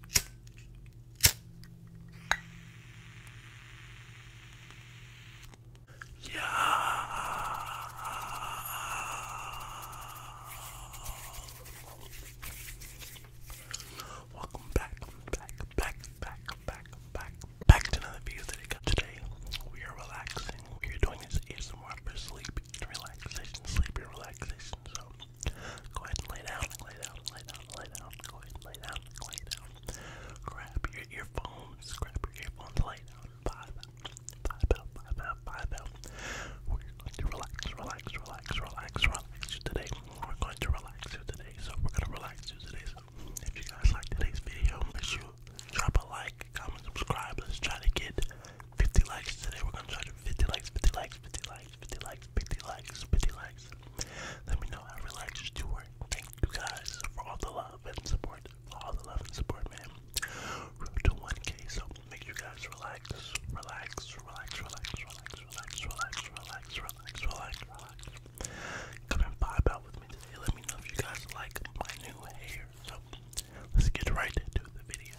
Yeah. Welcome back, back, back, back, back, back, back to another video that I got today. We are relaxing. We are doing this ASMR for sleep and relaxation, sleep relaxation. So Go ahead and lay down, lay down, lay down, lay down. Go ahead and lay down, lay down. Grab your earphones, grab your earphones, lay down. Five We're going to relax, relax, relax, relax, today. We're going to relax today. So we're going to relax you today. So if you guys like today's video, make sure drop a like, comment, subscribe. Let's try to get 50 likes today. We're going to try to 50 likes, 50 likes, 50 likes, 50 likes. 50 likes, 50 likes. Let me know how relaxed you were. Thank you guys for all the love and support. For all the love and support, man. Road to 1K, so make you guys relax, relax, relax, relax, relax, relax, relax, relax, relax, relax, relax. Come and vibe out with me today. Let me know if you guys like my new hair. So let's get right into the video.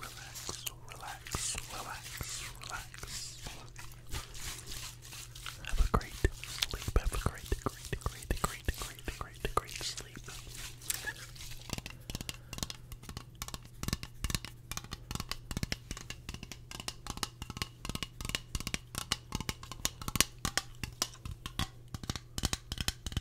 Relax, relax, relax, relax. Have a great sleep. Have a great, great, great, great, great, great, great sleep.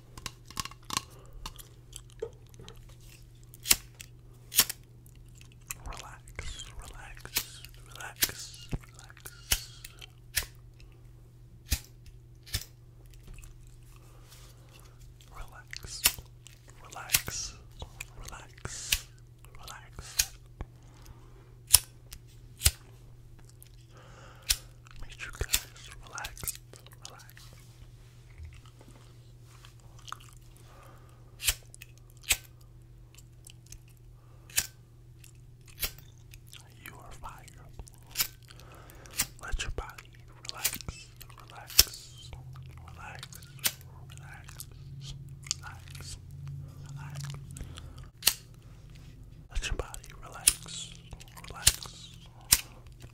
Relax, relax, relax, relax. Relax, relax, relax, relax. Make you guys relax, relax. You are fire. Let your body relax, relax, relax, relax, relax, relax. Let your body relax, relax,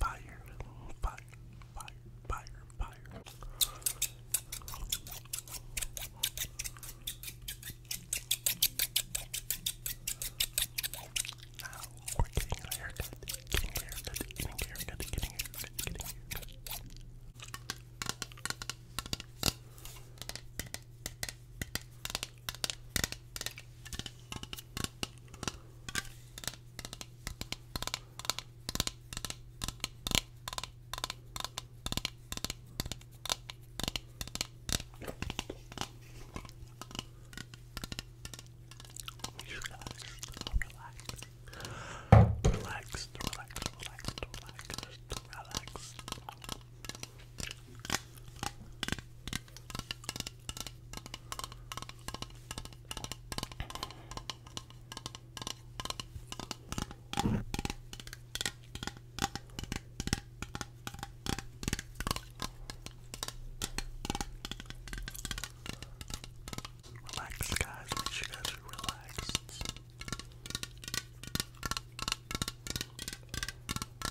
Fire, fire, fire, fire, fire. Now we're getting a haircut, getting a haircut, getting a haircut, getting a haircut, getting a haircut. You guys, relax, relax, relax, relax, relax, relax. Relax, guys. Make sure you guys are relaxed.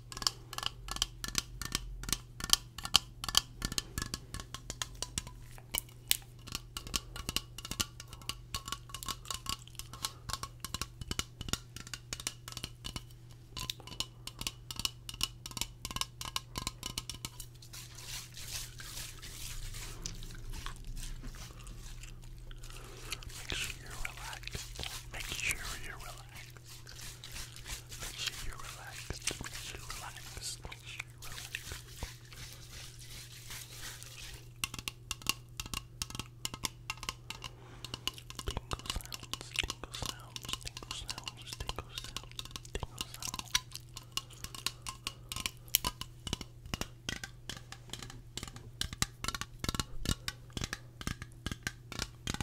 Make sure you're relaxed. Make sure you're relaxed. Make sure you're relaxed. Make sure you're relaxed. Make sure you're relaxed. Tingle sounds, tingle sounds, tingle sounds, tingle sounds, tingle sounds. Tingle sounds.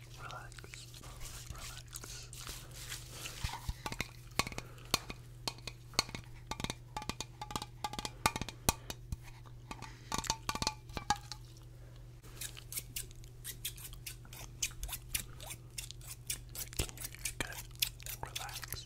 relax, relax. Making you good, relax, relax. Relax.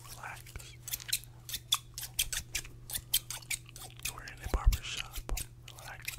Relax. We're in a barber shop. Relax.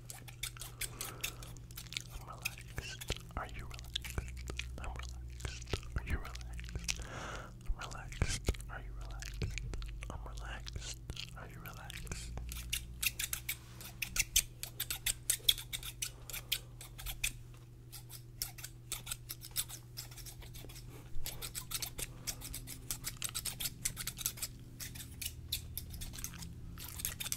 I'm relaxed. Are you relaxed? I'm relaxed. Are you relaxed? I'm relaxed. Are you relaxed? I'm relaxed. Are you relaxed?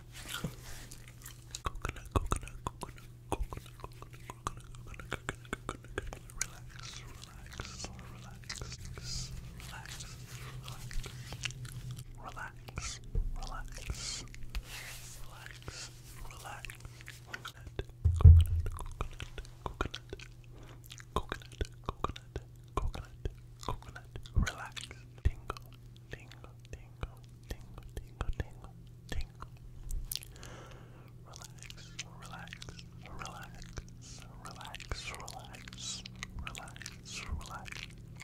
Coconut, coconut, coconut, coconut, coconut, coconut, coconut, coconut, coconut, coconut, relax, relax, relax, relax, relax, relax, relax, relax, relax, coconut, coconut, coconut, coconut, coconut, coconut, coconut, coconut, relax, tingle, tingle, tingle, tingle, tingle, tingle, tingle. Relax, relax, relax, relax, relax, relax,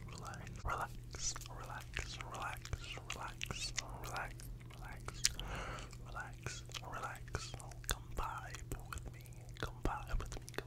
relax, relax, relax, relax, relax, relax, relax. Relax, relax, relax. Come vibe with me. Come vibe with me. Come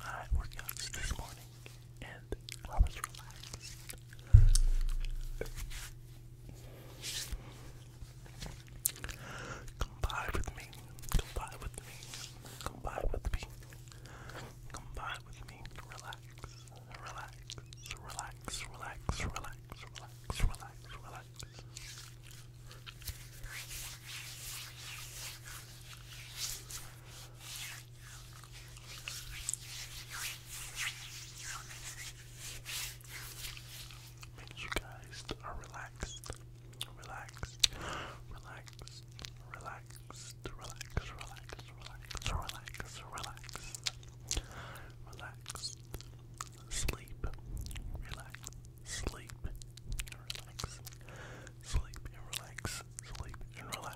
I worked out this morning and I was relaxed. Come by with me. Come by with me. Come by with me. Come vibe with me. Relax, relax, relax, relax, relax, relax, relax, relax. Make sure you guys are relaxed, relaxed, relaxed, relax, relax, relax, relax, relax, relax, relax, sleep, relax, sleep, relax, sleep and relax, sleep and relax.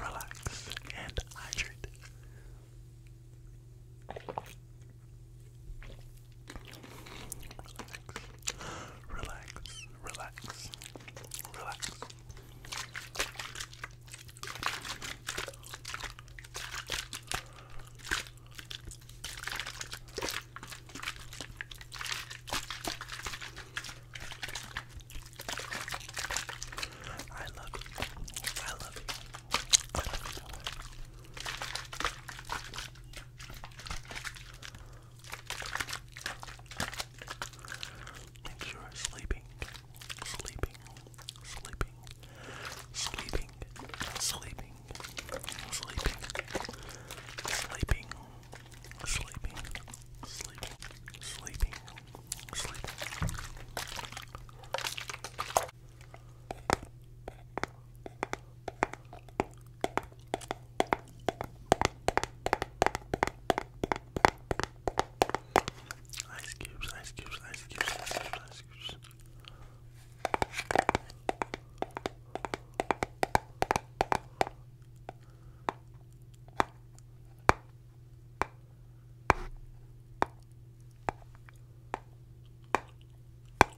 Relax and hydrate. Relax. Relax, relax, relax. I love you. I love you. I love you. Make sure you're sleeping, sleeping, sleeping, sleeping, sleeping, sleeping, sleeping, sleeping, sleeping, sleeping, sleeping. Ice cubes, ice cubes, ice cubes, ice cubes, ice cubes.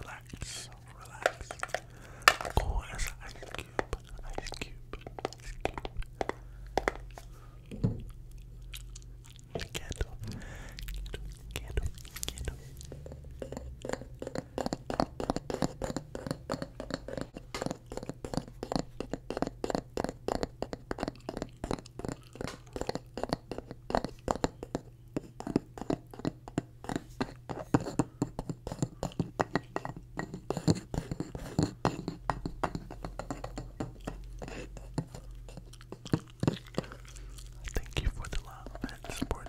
Relax, relax. Cool as an ice cube, ice cube, ice cube. Candle, candle, candle, candle. Thank you for the love and support.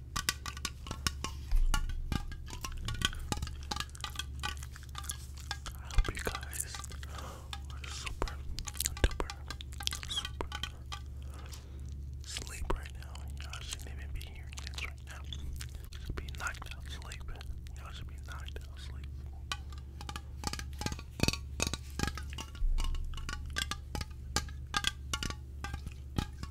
I hope you guys are super duper super sleep right now. you shouldn't even be hearing this right now. You be knocked out sleep. you be knocked out sleep.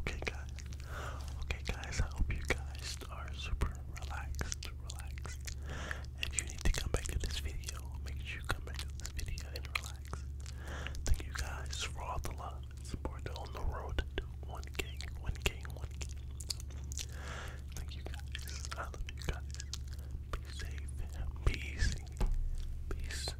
Okay, guys. Okay, guys. I hope you guys are super relaxed, relaxed. If you need to come back to this video, make sure you come back to this video and relax. Thank you guys for all the love and support on the road to one king, one king, 1K. Thank you guys. I love you guys. Be safe. Be Peace.